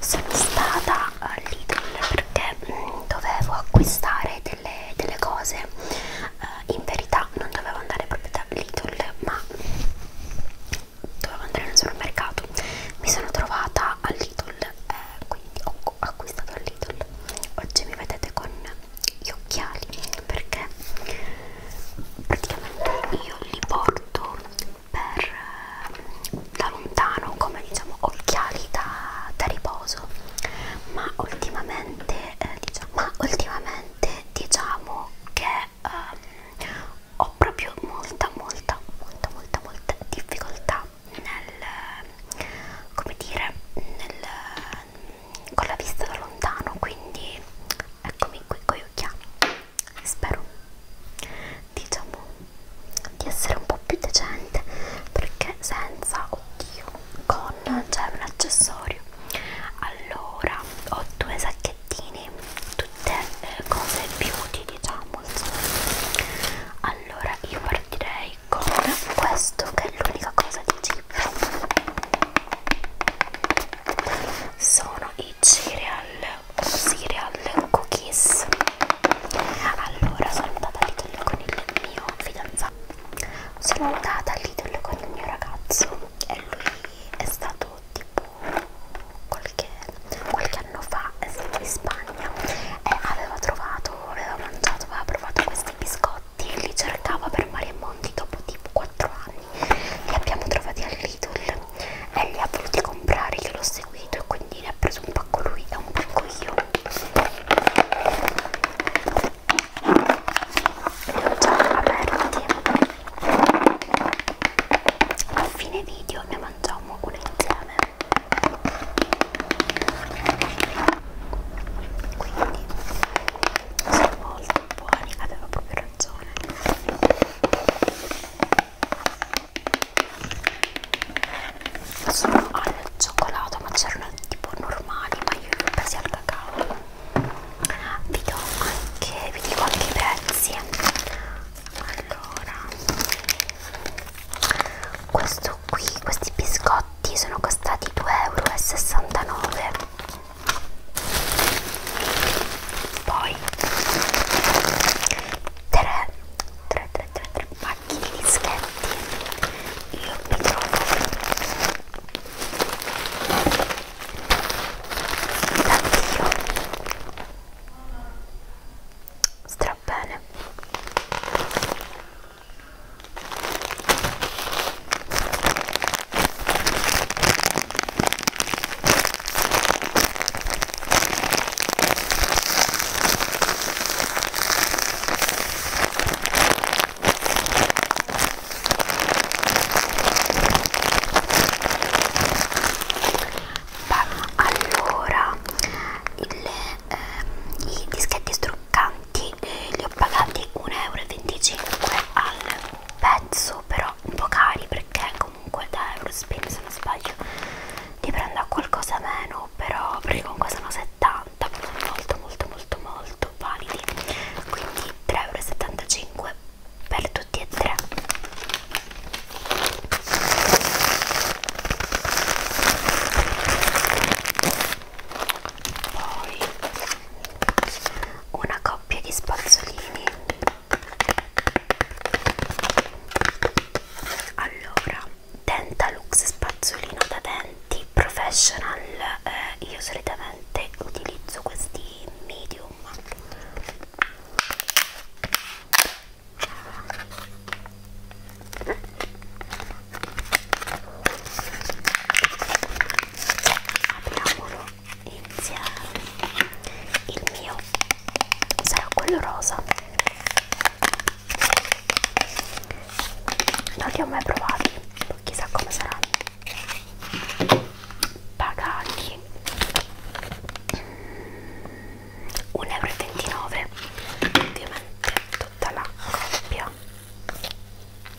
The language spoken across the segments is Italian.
sono stata all'Idol perché mh, mm, dovevo acquistare delle, delle cose uh, in verità non dovevo andare proprio dall'Idol ma dovevo andare in un solo mercato mi sono trovata all'Idol eh, quindi ho acquistato all'Idol oggi mi vedete con gli occhiali perché praticamente io li porto per, eh, da lontano come diciamo occhiali da, da riposo ma ultimamente eh, diciamo, ma ultimamente diciamo che ehm, ho proprio molta molta molta molta molta difficoltà nel come dire nel, con la vista da lontano quindi eccomi qui con gli occhiali spero diciamo di essere un po' più decente perché senza oddio con c'è cioè, un accessorio allora ho due sacchettini tutte eh, cose beauty diciamo insomma. allora io partirei con questo che è l'unica cosa di chip sono i cereal cereal cookies allora sono andata a Lidl con il mio fidanzato sono andata a Lidl con il mio ragazzo e lui è stato tipo qualche, qualche anno fa è stato in Spagna e aveva trovato aveva mangiato aveva provato questi biscotti e li cercava per mari e monti dopo tipo 4 anni li abbiamo trovati al Lidl e li ha voluti comprare io l'ho seguito e quindi ne ha preso un pacco lui e un pacco io li ho già aperti a fine video ne mangiamo uno insieme quindi sono molto buoni avevo proprio canzone sono al cioccolato ma c'erano tipo normali ma io li ho presi al cacao vi do anche vi dico anche i prezzi allora questo qui questi biscotti sono costati 2,69 euro poi 3 3 3 3 3 pacchi di dischetti io mi trovo da Dio stra bene Beh, allora il, eh, i dischetti struccanti eh, li ho pagati 1,25 euro al pezzo però un po' cari perché comunque da Eurospin se non sbaglio ti prendo a qualcosa meno però perché comunque sono 70 sono molto molto molto molto validi quindi 3,75 euro per tutti e tre poi una coppia di spazzolini allora Dentalux spazzolino da denti professional eh, io solitamente utilizzo questi medium apriamolo insieme il mio sarà quello rosa non li ho mai provati chissà come saranno pagati 1,29 euro ovviamente tutta la coppia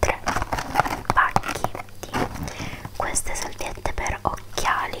3 pacchi di queste salviette per occhiali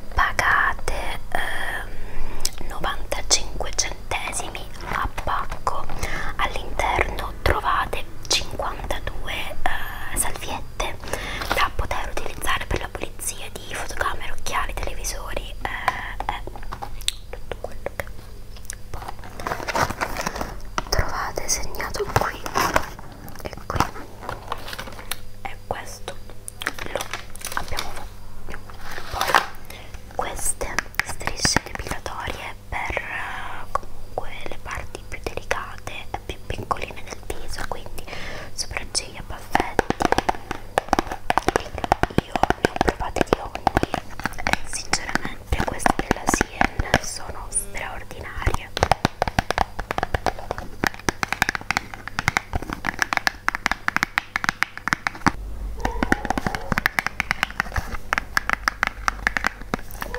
pagate ehm, 95 centesimi a pacco all'interno trovate 52 eh, salviette da poter utilizzare per la pulizia di fotocamere, occhiali, televisori eh, eh, tutto quello che poi trovate segnato qui ecco e questo lo abbiamo fatto poi queste strisce depilatorie per eh, comunque le parti più delicate e più piccoline del viso quindi sopracciglia, baffetti io ne ho provate di ogni e sinceramente queste della Sien sono straordinarie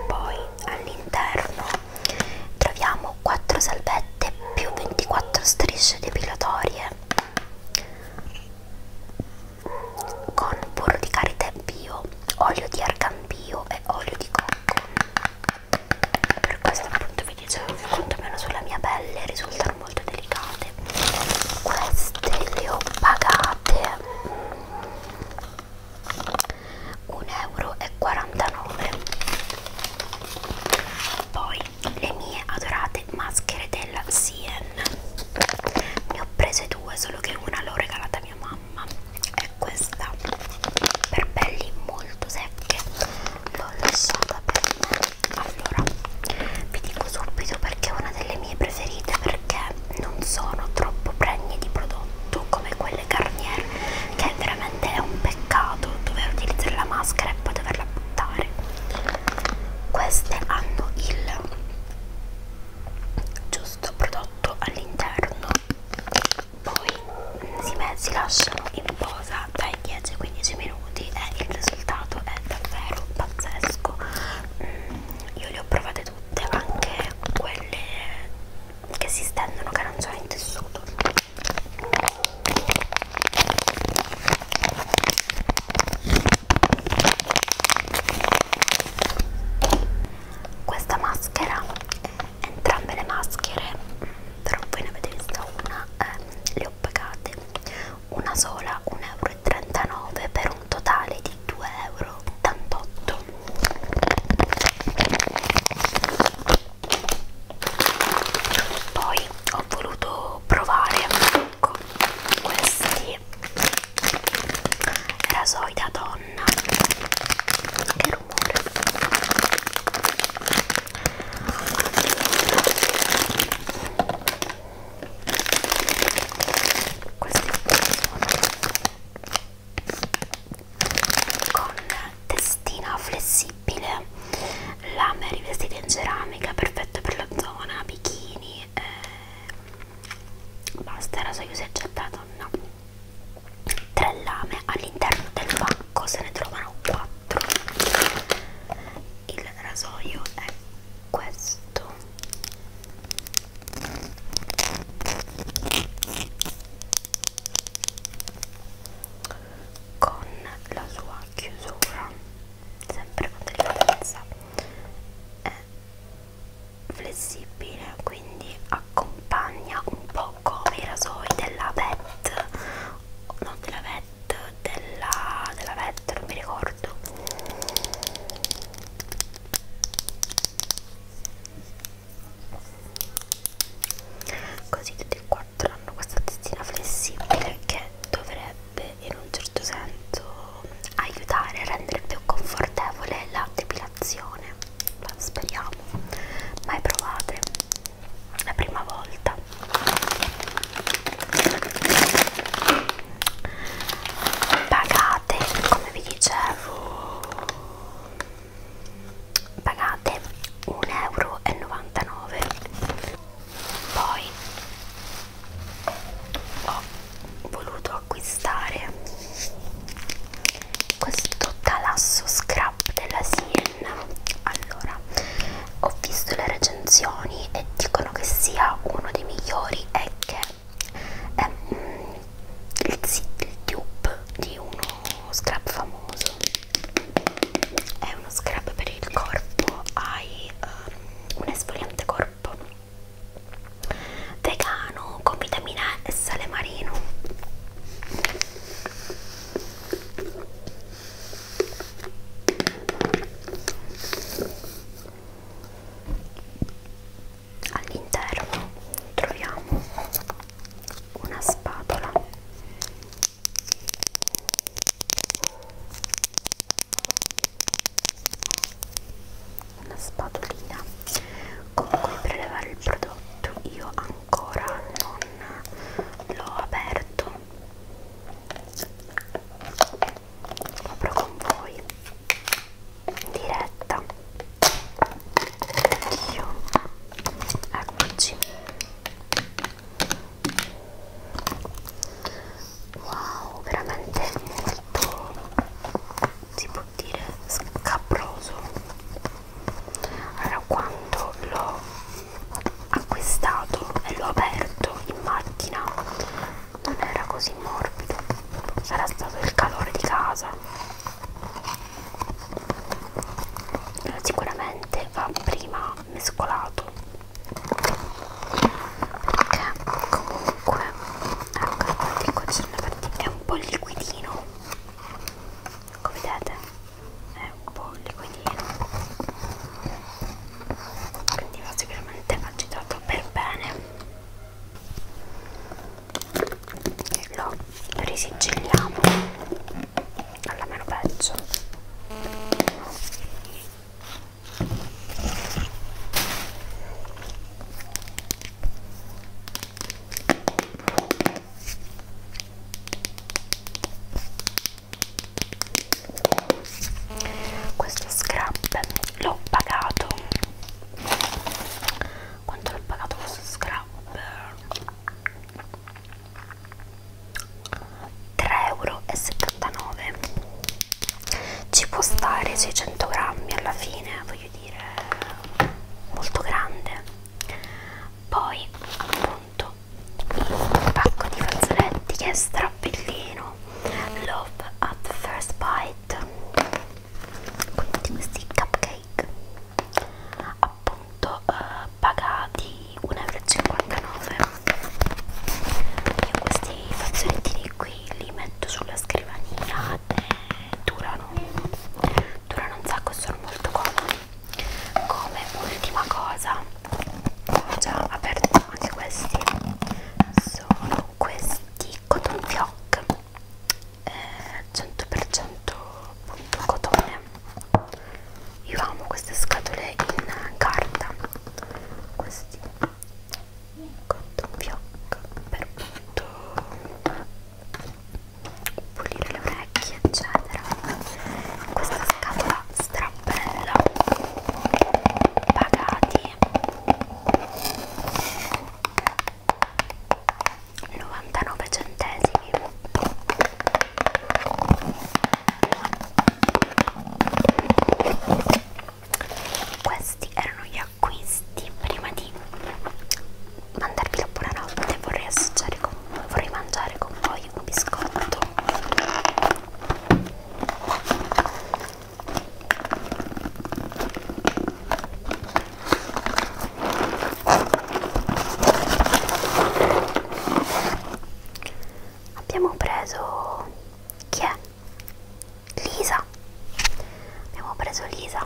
poi all'interno troviamo 4 salvette più 24 strisce depilatorie con burro di karité bio, olio di argan bio e olio di cocco per questo appunto vi dicevo che quantomeno sulla mia pelle risultano molto delicate queste le ho pagate 1,49€ mm, poi le mie adorate maschere della Sien ne ho prese due solo che una l'ho regalata a mia mamma è questa per pelli molto secche l'ho lasciata per me allora vi dico subito perché è una delle mie preferite perché non sono troppo pregne di prodotto come quelle Garnier che veramente è un peccato dover utilizzare la maschera e poi doverla buttare queste hanno il giusto prodotto all'interno poi si, si lasciano in posa dai 10 ai 15 minuti e il risultato è davvero pazzesco mm, io le ho provate tutte anche quelle che si stendono che non sono in tessuto questa maschera entrambe le maschere però voi ne avete vista una eh, le ho pagate una sola 1,39 euro per un totale di 2,88 euro poi ho voluto provare ecco, questi rasoi da donna nonna che rumore questi sono con testina flessibile lame rivestita in ceramica perfetto per la zona bikini eh, basta era so io si è gettato no tre lame all'interno del pacco se ne trovano quattro il rasoio è questo con la sua chiusura sempre con della e flessibile quindi accompagna un po' come i rasoi della VET no della VET della, della VET non mi ricordo così tutti e quattro hanno questa testina flessibile che dovrebbe in un certo senso aiutare a rendere più confortevole la depilazione reazione speriamo mai provate la prima volta pagate come vi dicevo pagate 1,99 euro poi ho voluto acquistare questo talasso scrap della Sien allora ho visto le recensioni e dicono che sia uno dei migliori e che è mm, il, il tube di uno scrap famoso è uno scrap per il corpo hai um, un esfoliante corpo vegano con vitamina e sale marino all'interno troviamo una spatola una spatolina comunque per levare il prodotto io ancora non l'ho aperto lo apro con voi in diretta io eccoci wow veramente molto si può dire scabroso allora quando l'ho acquistato e l'ho aperto in macchina non era così morbido sarà stato il calore di casa sicuramente va prima mescolato perché comunque comunque ecco anche qua ci sono fatti è un po' liquidino come vedete è un po' liquidino quindi va sicuramente agitato per bene e lo risigigliamo alla mano peggio questo scrap l'ho pagato quanto l'ho pagato questo scrap 3,79 euro ci può stare 600 grammi alla fine voglio dire molto grande poi appunto il pacco di fazzoletti che è strappellino love at first bite quindi questi cupcake appunto eh, pagati 1,59 euro io questi fazzolettini qui li metto sulla scrivania e durano durano un sacco e sono molto comodi come ultima cosa ho già aperto anche questi sono questi cotton fioc eh, 100% appunto cotone io amo queste scatole in carta questi cotton fioc per appunto pulire le orecchie eccetera questa scatola strappella pagati 99 centesimi questi erano gli acquisti prima di mandarvi la buonanotte. Vorrei assaggiare con vorrei mangiare con voi un biscotto abbiamo preso chi è? Lisa abbiamo preso Lisa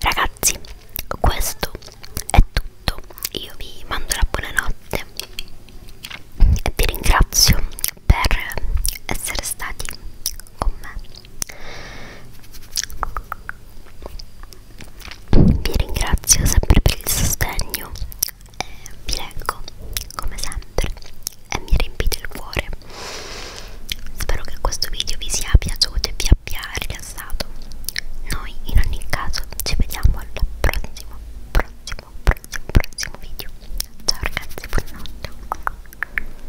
Ragazzi, questo è tutto. Io vi mando la buonanotte e vi ringrazio per essere stati con me. Vi ringrazio sempre per il sostegno e vi leggo come sempre e mi riempite il cuore. Spero che questo video vi sia piaciuto e vi abbia rilassato. Noi in ogni caso ci vediamo al prossimo, prossimo, prossimo, prossimo video. Ciao ragazzi, buonanotte.